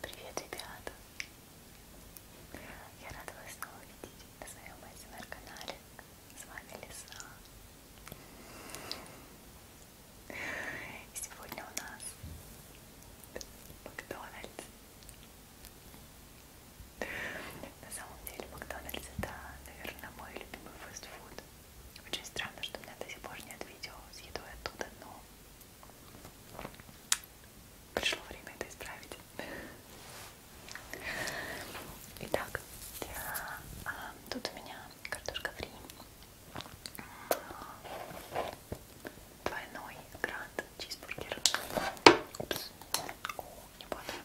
Привет, ребята! Я рада вас снова видеть на своем СМР-канале. Эм С вами Лиса. И сегодня у нас Макдональдс. На самом деле Макдональдс это, наверное, мой любимый фастфуд. Очень странно, что у меня до сих пор нет видео с едой оттуда, но пришло время это исправить. Итак, а, тут у меня картошка фри. Двойной грант чизбургер. Упс. О, не падаем.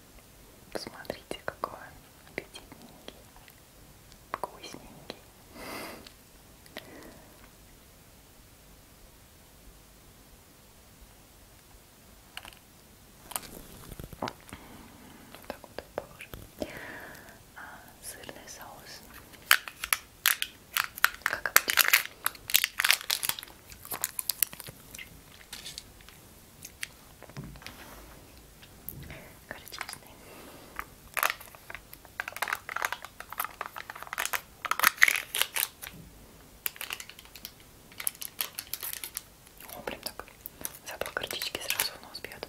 Посмотрите, какой он аппетитненький, вкусненький. Так вот похоже. А, сырный соус. Как обычно. Горчичный. О, блин, так запах горчички сразу в нос бьет.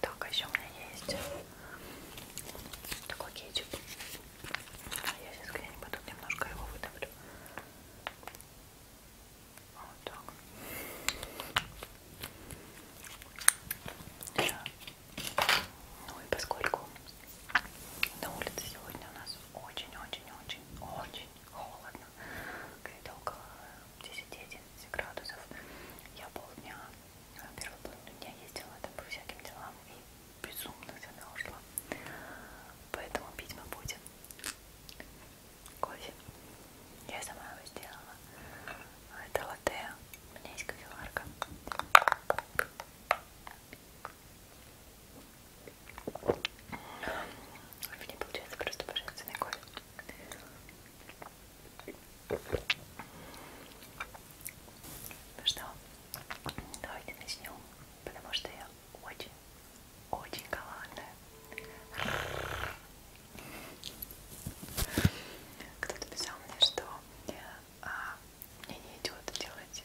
Так, а еще у меня есть такой кетчуп. А я сейчас где-нибудь тут немножко его выдавлю. Вот так. Ну и поскольку на улице сегодня у нас очень-очень-очень-очень холодно, где-то около 10-11 градусов. Я полдня, э, первую половину дня ездила там по всяким делам и безумно замерзла. Поэтому пить мы будем кофе. Я сама его сделала. Это латте. У меня есть кофеварка. В ней получается просто божественный кофе. Ну что, давайте начнем, потому что я очень, очень голодная. Кто-то писал мне, что а, мне не идет делать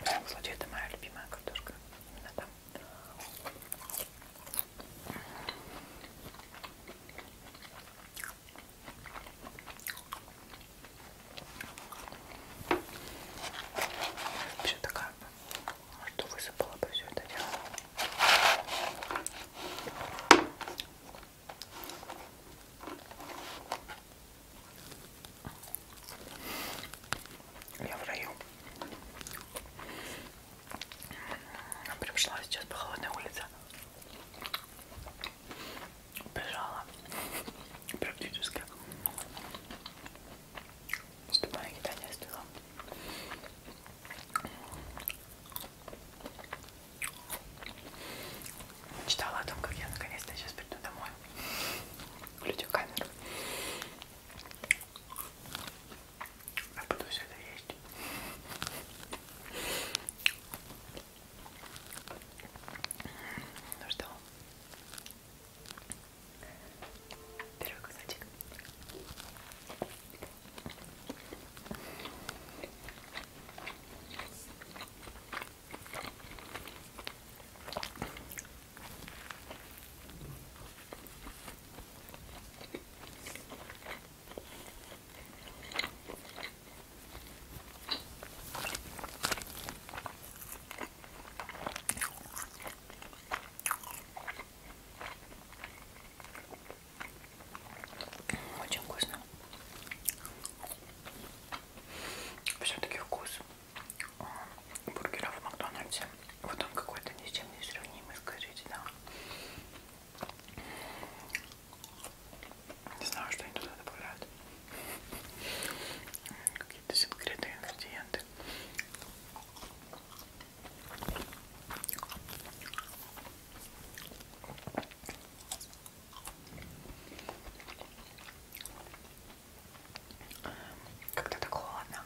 В данном случае это моя любимая картошка. Именно там. Вообще такая, что высыпала бы все это дело. Я в раю. Я прям шла сейчас по холодной улице. Бежала. Практически. Ступая кидание стыла. Читала о том, как я наконец-то сейчас приду домой включу камеру. Я а буду все это есть. Ну что? Первый кусочек. Очень вкусно. Все-таки вкус бургера в Макдональдсе. Вот он какой-то ни с чем не сравнимый, скажите, да. Не знаю, что они туда добавляют. Какие-то секретные ингредиенты. Как-то так холодно.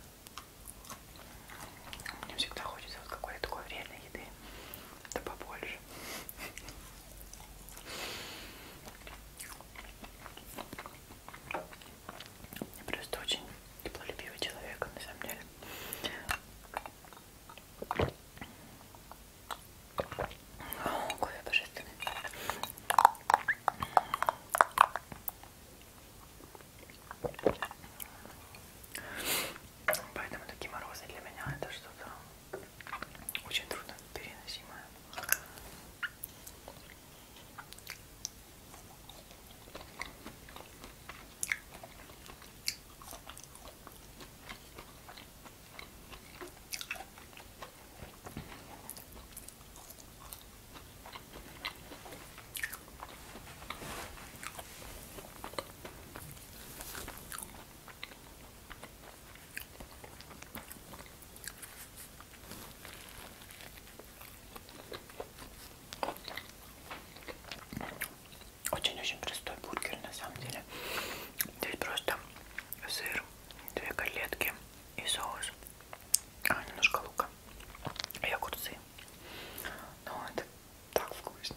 Мне всегда хочется вот какой-то такой вредной еды. Да побольше. Я просто очень теплолюбивый человек, на самом деле. О, кофе божественный. Поэтому такие морозы для меня это что-то очень трудно переносимое. Очень-очень простой бургер на самом деле. Здесь просто сыр, две котлетки и соус, а, немножко лука и огурцы. Ну, это так вкусно.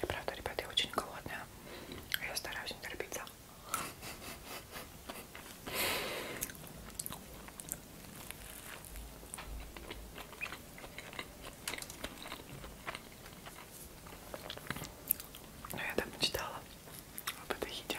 Я правда, ребята, я очень голодная. А я стараюсь не торопиться. Но я так мечтала об этой еде.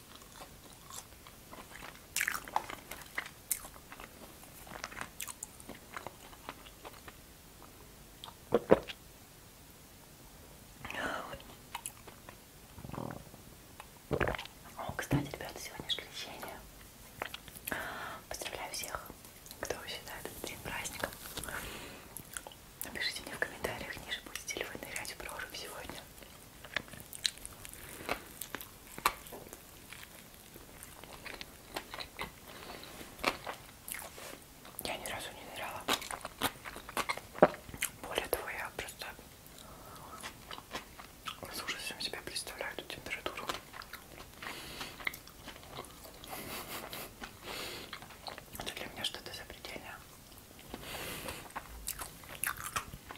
О, кстати, ребята, сегодня же крещение. Поздравляю всех, кто считает этот день праздником. Напишите мне в комментариях ниже, будете ли вы нырять в прорубь сегодня. Я ни разу не ныряла. Более того, я просто с ужасом себе представляю эту температуру. Это для меня что-то запредельное.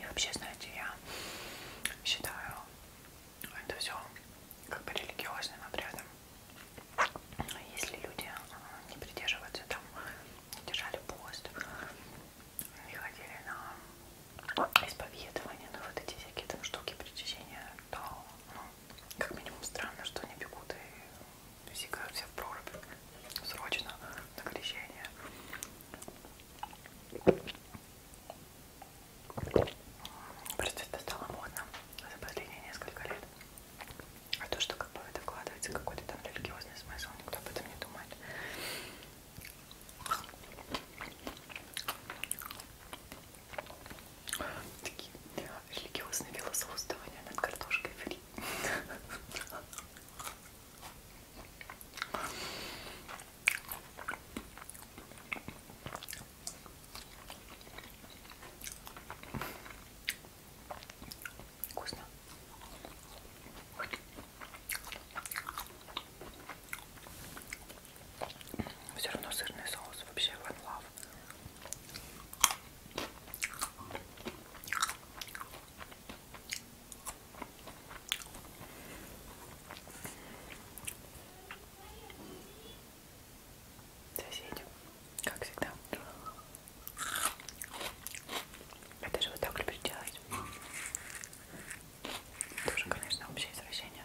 И вообще, знаете, я считаю это все как бы религиозным обрядом. Если люди а, не придерживаются там, держали пост, не ходили на исповедование, на ну, вот эти всякие там штуки причащения, то ну, как минимум странно, что они бегут и зигают все в прорубь. Срочно на крещение. Просто это стало модно за последние несколько лет. А то, что как бы в это вкладывается какой-то там религиозный смысл, никто об этом не думает. Такие религиозное философствование над картошкой фри. Вкусно. Все равно сырный соус вообще one love. Соседи, как всегда. Это же вот так люблю делать. Тоже, конечно, общее извращение.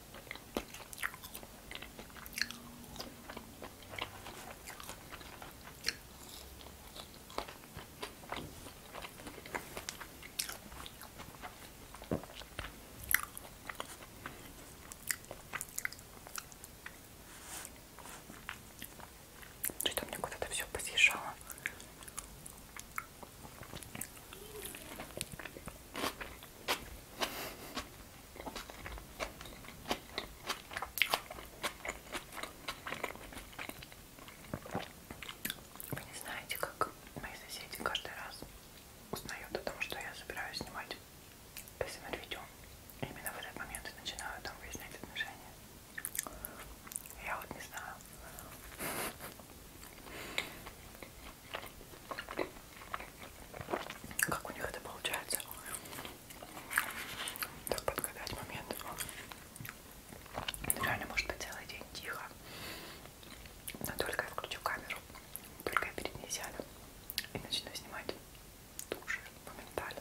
Что-то мне куда-то все посъезжало. Вы не знаете, как мои соседи каждый раз узнают о том, что я собираюсь снимать СМР-видео. Именно в этот момент и начинаю там выяснять отношения. Я вот не знаю. Как у них это получается? Так подгадать момент. Реально может быть целый день тихо. Но только я включу камеру, только я перед ней сяду и начну снимать туши моментально.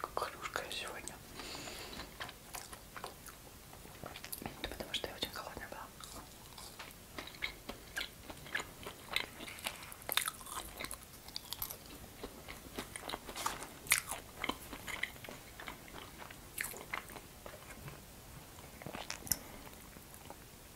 Как хрюшка я сегодня. Это потому что я очень холодная была.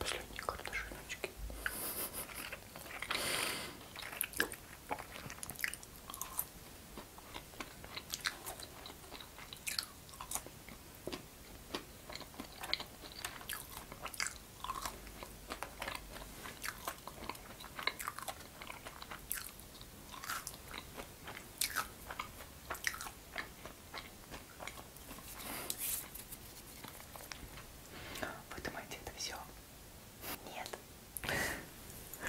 Последние картошиночки. Вы думаете, это все? Нет. У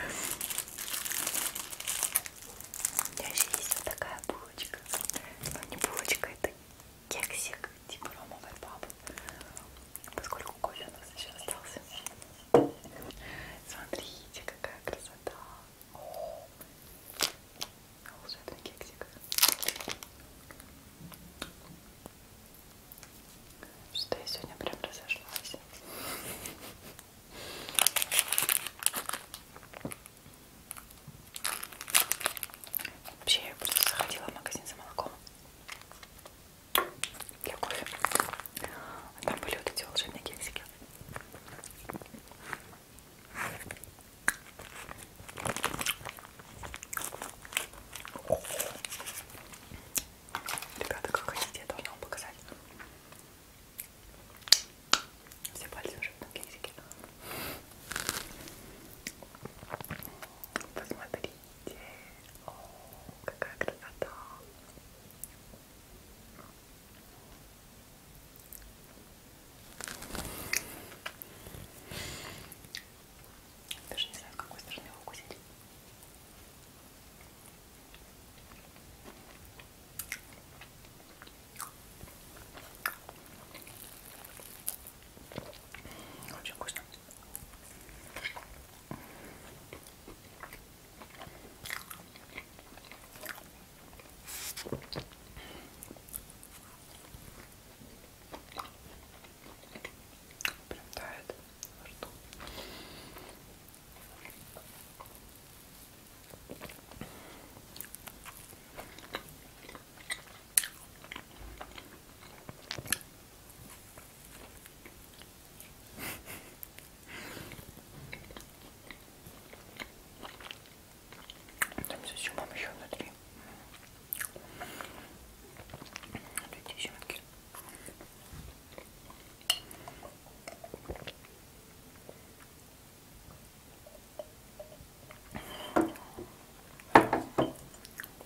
меня еще есть вот такая булочка. Но ну, не булочка, это кексик, типа ромовой бабы поскольку кофе у нас еще остался. Смотрите, какая красота! О, волшебный кексик. Что я сегодня прям разошлась. Вообще я просто заходила в магазин за молоком для кофе. А там были вот эти волшебные кексики. Ребята, как хотите, я должна вам показать. Все пальцы уже на кексике. Посмотрите. Видите? О, какая красота! Даже не знаю, с какой стороны его укусить. Очень вкусно. Прям тает во рту. Там с изюмом еще внутри. Вот эти изюмки.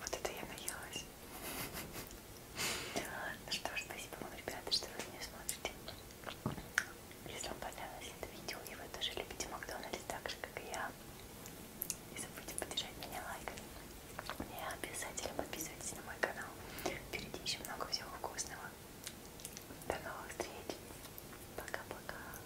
Вот это я наелась. Ну что ж, спасибо вам, ребята, что вы меня смотрите. Если вам понравилось это видео и вы тоже любите Макдональдс так же, как и я, не забудьте поддержать меня лайками. И обязательно подписывайтесь на мой канал. Впереди еще много всего вкусного. До новых встреч. Пока-пока.